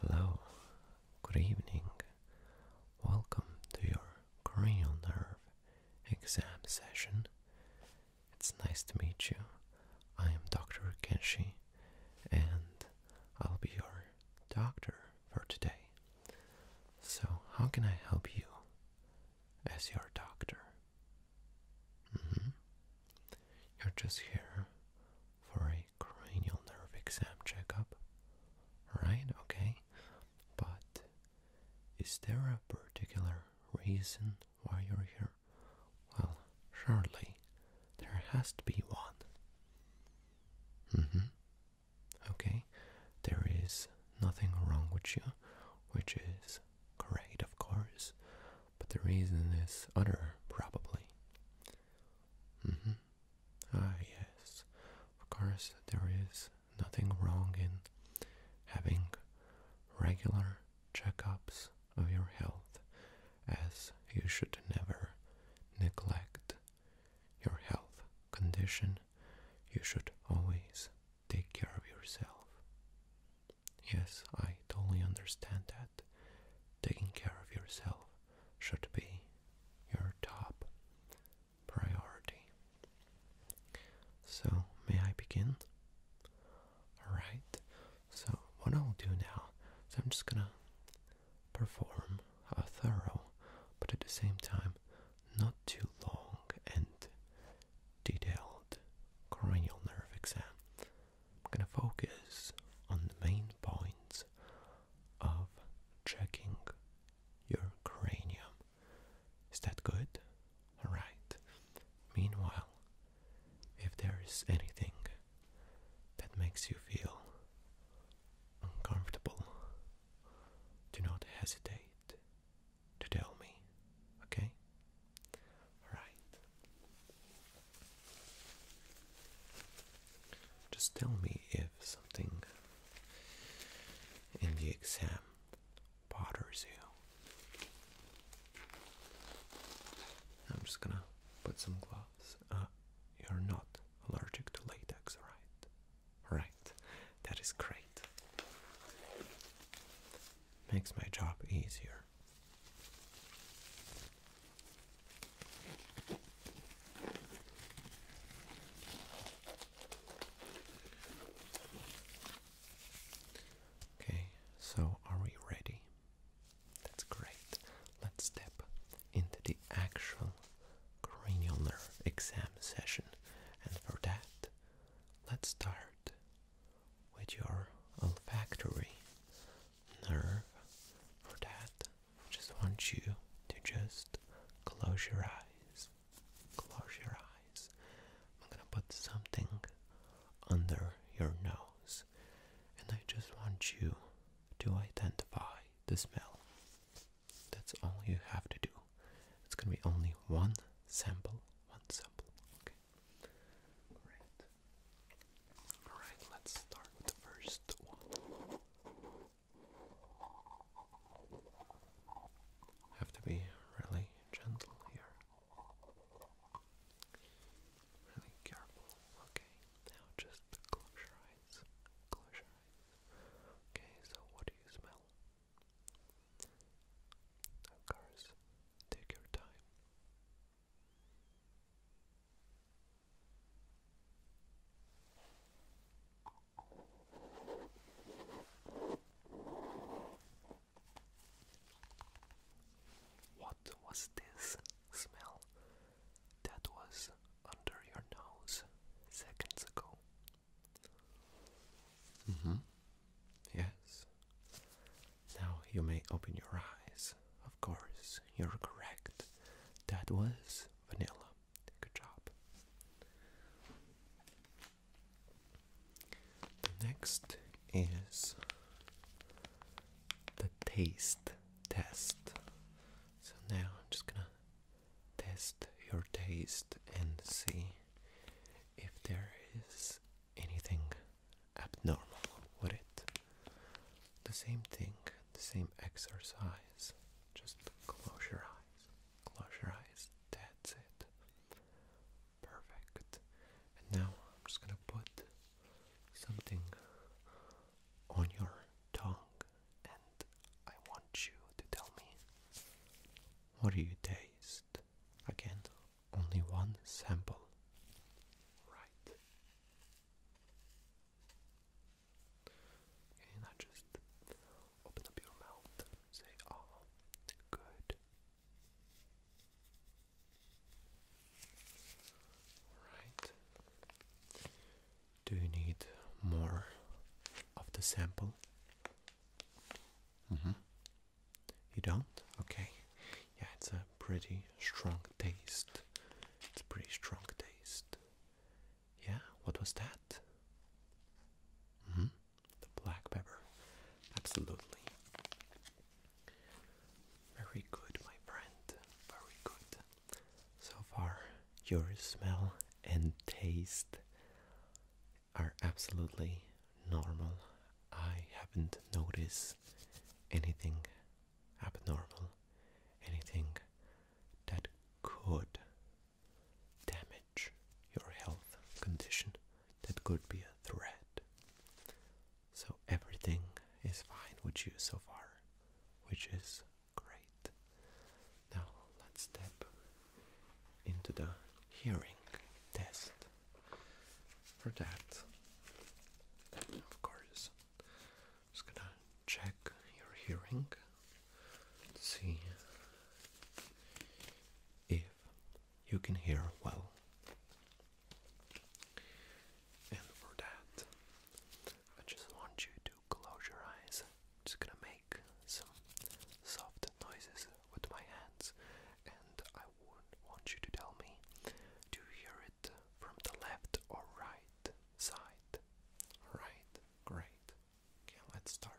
Hello, good evening. Welcome to your cranial nerve exam session. It's nice to meet you. I am Dr. Kenshi and I'll be your doctor for today. So, how can I help you as your doctor? Mm-hmm. You're just here for a cranial nerve exam checkup, right? Okay. But is there a particular reason why you're here? Well, surely there has to be one. Mm-hmm. Okay, there is nothing wrong with you, which is great, of course but the reason is other, probably. Mm-hmm. Ah, yes. Of course, there is nothing wrong in having regular checkups of your health, as you should never neglect your health condition. You should always take care of yourself. Yes, I totally understand that. Taking care of yourself should be your top priority. So, may I begin? Alright, so what I'll do now is I'm just gonna perform a thorough, but at the same time, not too long and detailed cranial nerve exam. I'm going to focus on the main points of checking your cranium. Is that good? Alright. Meanwhile, if there is anything that makes you feel uncomfortable, do not hesitate to tell me, okay? Alright. Just tell me if something in the exam bothers you. I'm just gonna put some gloves. Uh, you're not allergic to latex, right? Right, that is great. Makes my job easier. Okay, so are we ready? That's great. Let's step into the actual cranial nerve exam session, and for that, let's start with your olfactory nerve. For that, just want you to just close your eyes. Close your eyes. I'm gonna put something under your nose, and I just want you to identify the smell. That's all you have to do. It's gonna be only one sample. One sample. Okay. Great. Alright, let's start the first one. Have to be really gentle here. Really careful. Okay, now just close your eyes. Close your eyes. Okay, so what do you smell? Of course, take your time. What was this smell that was under your nose seconds ago? Mm-hmm. Yes. Now you may open your eyes. Of course, you're correct. That was vanilla. Good job. The next is the taste test. So now I'm just gonna test your taste and see if there is anything abnormal, would it? The same thing, the same exercise. Just close your eyes. Close your eyes. That's it. Perfect. And now I'm just gonna put something on your tongue and I want you to tell me what do you taste? Again, only one sample right. Okay, now just open up your mouth and say, oh, good. Alright. Do you need more of the sample? Mm -hmm. You don't? Okay. Yeah, it's a pretty strong taste. It's a pretty strong taste. Yeah, what was that? hmm The black pepper. Absolutely. Very good, my friend. Very good. So far, your smell and taste are absolutely normal. I haven't noticed anything abnormal, anything that could damage your health condition, that could be a threat. So everything is fine with you so far, which is great. Now let's step into the hearing test for that. Of course. Just gonna check your hearing. See if you can hear well. And for that, I just want you to close your eyes. just gonna make some soft noises with my hands, and I would want you to tell me do you hear it from the left or right side? Alright, great. Okay, let's start.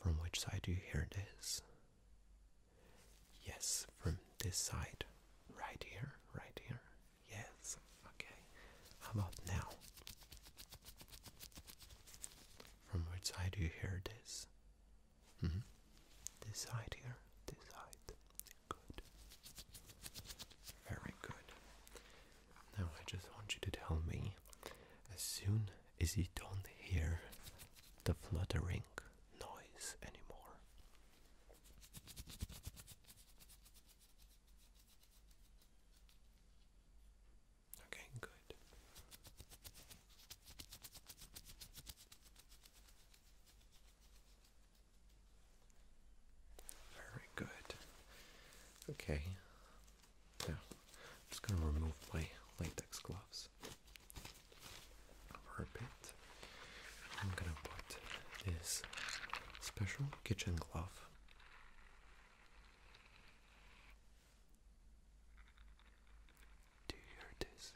From which side do you hear this? Yes, from this side. Right here, right here. Yes, Okay, how about now? From which side do you hear this? Mm-hmm. This side here, this side. Good. Very good. Now I just want you to tell me as soon as you don't hear the fluttering noise anymore. Okay, good. Very good. Okay. Now, I'm just going to remove my latex gloves for a bit. I'm going to put this special kitchen glove do you hear this?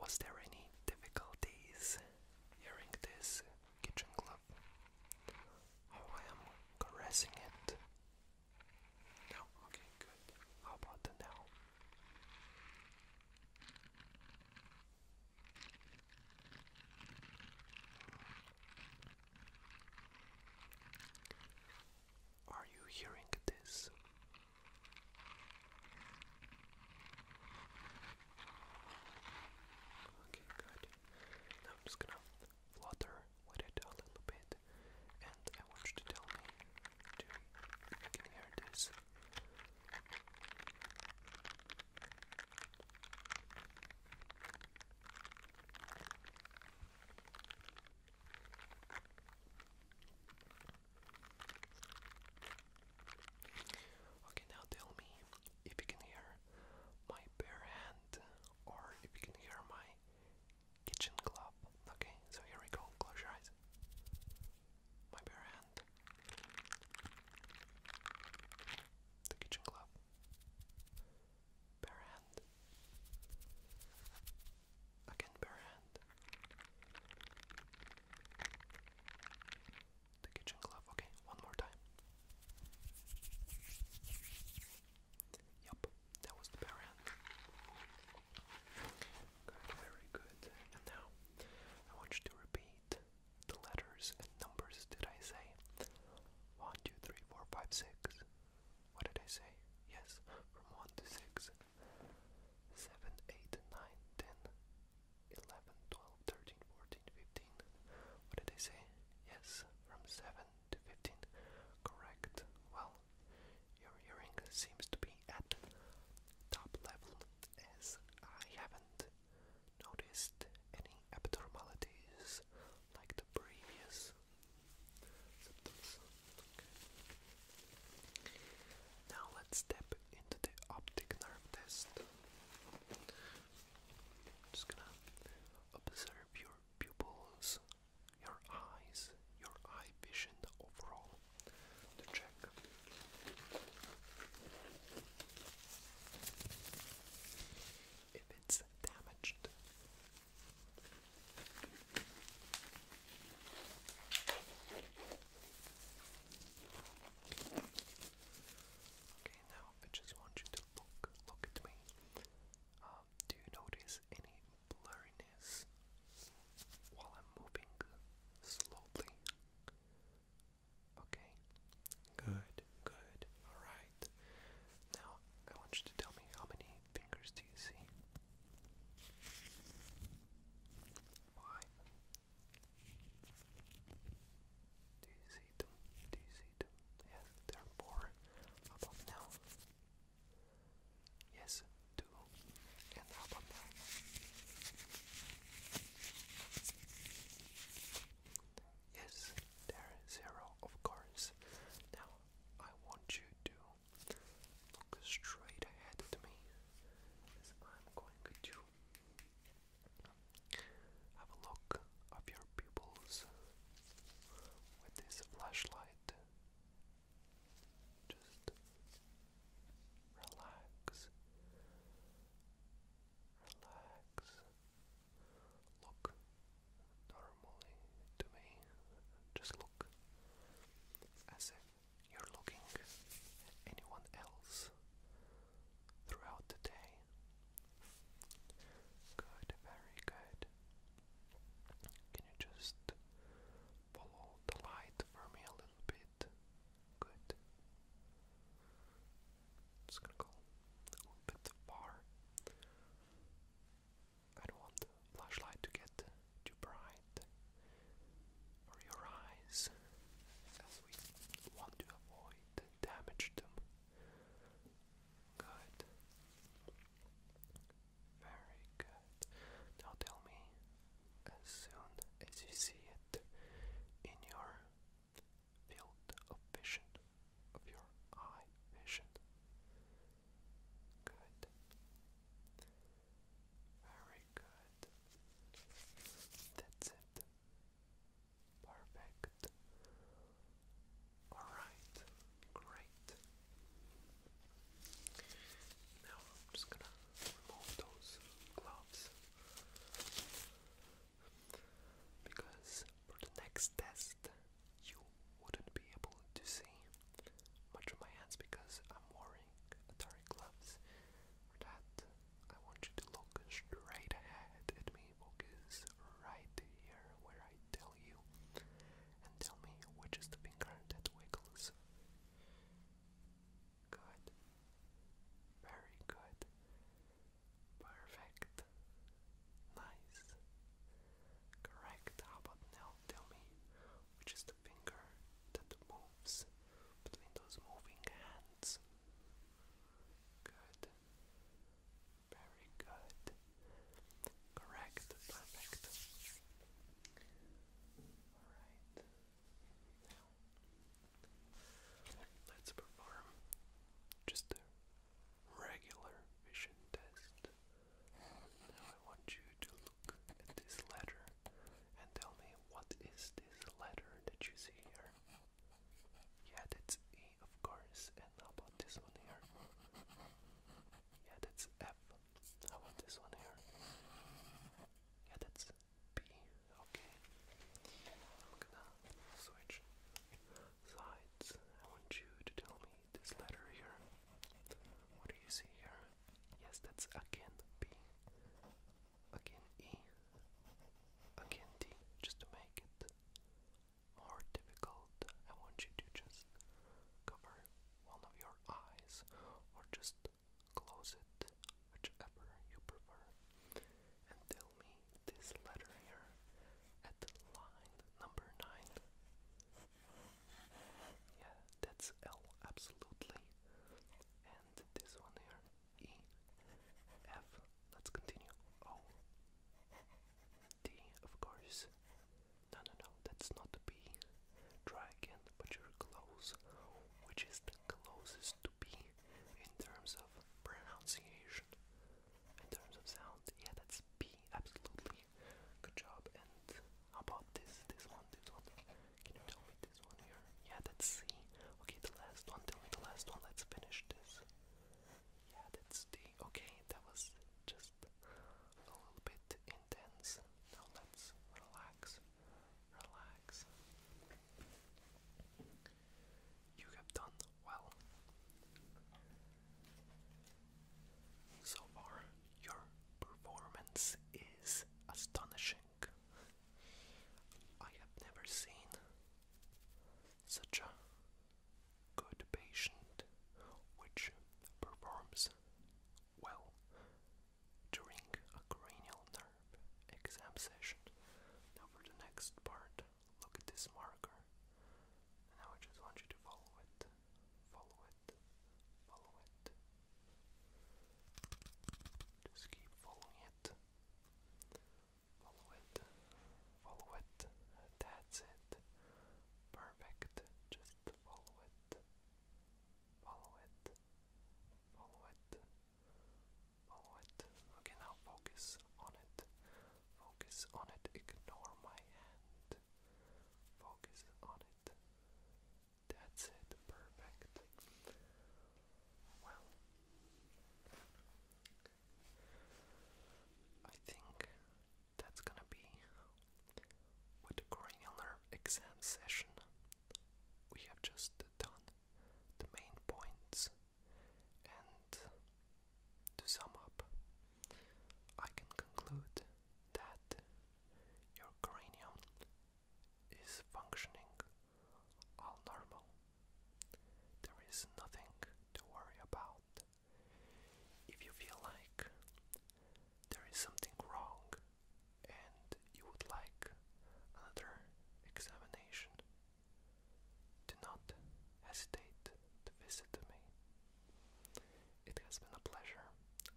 Was there any difficulties hearing this kitchen glove? Oh, I am caressing it. No, okay, good. How about the now? Are you hearing this? Okay, good. I'm just gonna flutter with it a little bit, and I want you to tell me to I can hear this. Okay, now tell me if you can hear my bare hand, or if you can hear my kitchen club. Okay, so here we go. Close your eyes. My bare hand. The kitchen club. Bare hand. Again, bare hand. The kitchen club. Okay, one more time. Yup, that was the bare end. very good. And now, I want you to repeat the letters and numbers. Did I say one, two, three, four, five, six? What did I say? Yes, from one to six. Seven, eight, nine, ten. 11, What did I say? Yes, from 7 to 15. Correct. Well, your hearing seems to be at top level as I haven't noticed any abnormalities like the previous symptoms. Now let's step into the optic nerve test. Just gonna observe your pupils, your eyes, your eye vision overall to check. If it's damaged, now I just want you to look, look at me. Um, do you notice any blurriness while I'm moving slowly? Okay, good, good. All right. Now I want you to tell me how many fingers do you see? Five. Do you see them? Do you see them? Yes, there are four above now. Yes, two and above now. Yes, there is zero, of course. Now I want you to look straight ahead at me as I'm going to have a look of your pupils with this flashlight. Just relax. Relax. Look normally to me. Just look as if you're looking at anyone else throughout the day. Good, very good. Can you just follow the light for me a little bit? Good. Just gonna go a little bit far. I don't want the flashlight to get too bright for your eyes, as we want to avoid damaged them. Good. Very good. Now tell me, as soon as you see it in your field of vision, of your eye vision. Good. Very good. That's it. Perfect. Alright, great. Now I'm just gonna remove those gloves because for the next test you wouldn't be able to see much of my hands because I'm wearing Atari gloves that I want you to look straight ahead at me, focus right here where I tell you, and tell me which is the finger that wiggles. Good. Very good. Perfect. Nice. Correct. How about now? Tell me which is the finger that moves between those moving hands. Good. Very good. Correct. Perfect. Alright. let's perform just a regular vision test. Now, I want you to look at this letter and tell me what is this letter that you see here. Yeah, that's A, of course. And how about this one here? Yeah, that's F. How this one here? Yeah, that's B. Okay. I'm gonna switch sides. I want you to tell me this letter here. What do you see here? Yes, that's again B again E, again D, just to make it more difficult. I want you to just cover one of your eyes or just close it, whichever you prefer, and tell me this letter here at line number 9. Yeah, that's L, absolutely. And this one here E, F. Let's continue. O, D, of course. No, no, no, that's not B. Try again, but you're close. Which is the closest to B in terms of pronunciation? In terms of sound? Yeah, that's B, absolutely. Good job. And about this? This one, this one. Can you tell me yeah, that's C. Okay, the last one. the last one. Let's finish this. Yeah, that's D. Okay, that was just a little bit intense. Now let's relax. Relax. You have done well. So far, your performance is astonishing. I have never seen such a good patient which performs well during a cranial nerve exam session. Now, for the next part, look at this marker. now I just want you to follow it, follow it, follow it. Just keep following it. Follow it. Follow it. That's it. Perfect. Just follow it. Follow it. Follow it. Follow it. Okay, now focus on it. Focus on it. Ignore my hand. Focus on it. That's it. Perfect. Well, I think that's gonna be what the cranial exam session. We have just done the main points, and to sum up, I can conclude that your cranium is functioning all normal. There is nothing to worry about. If you feel like there is something wrong and you would like another examination, do not hesitate to visit me. It has been a pleasure.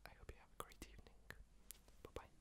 I hope you have a great evening. Bye bye.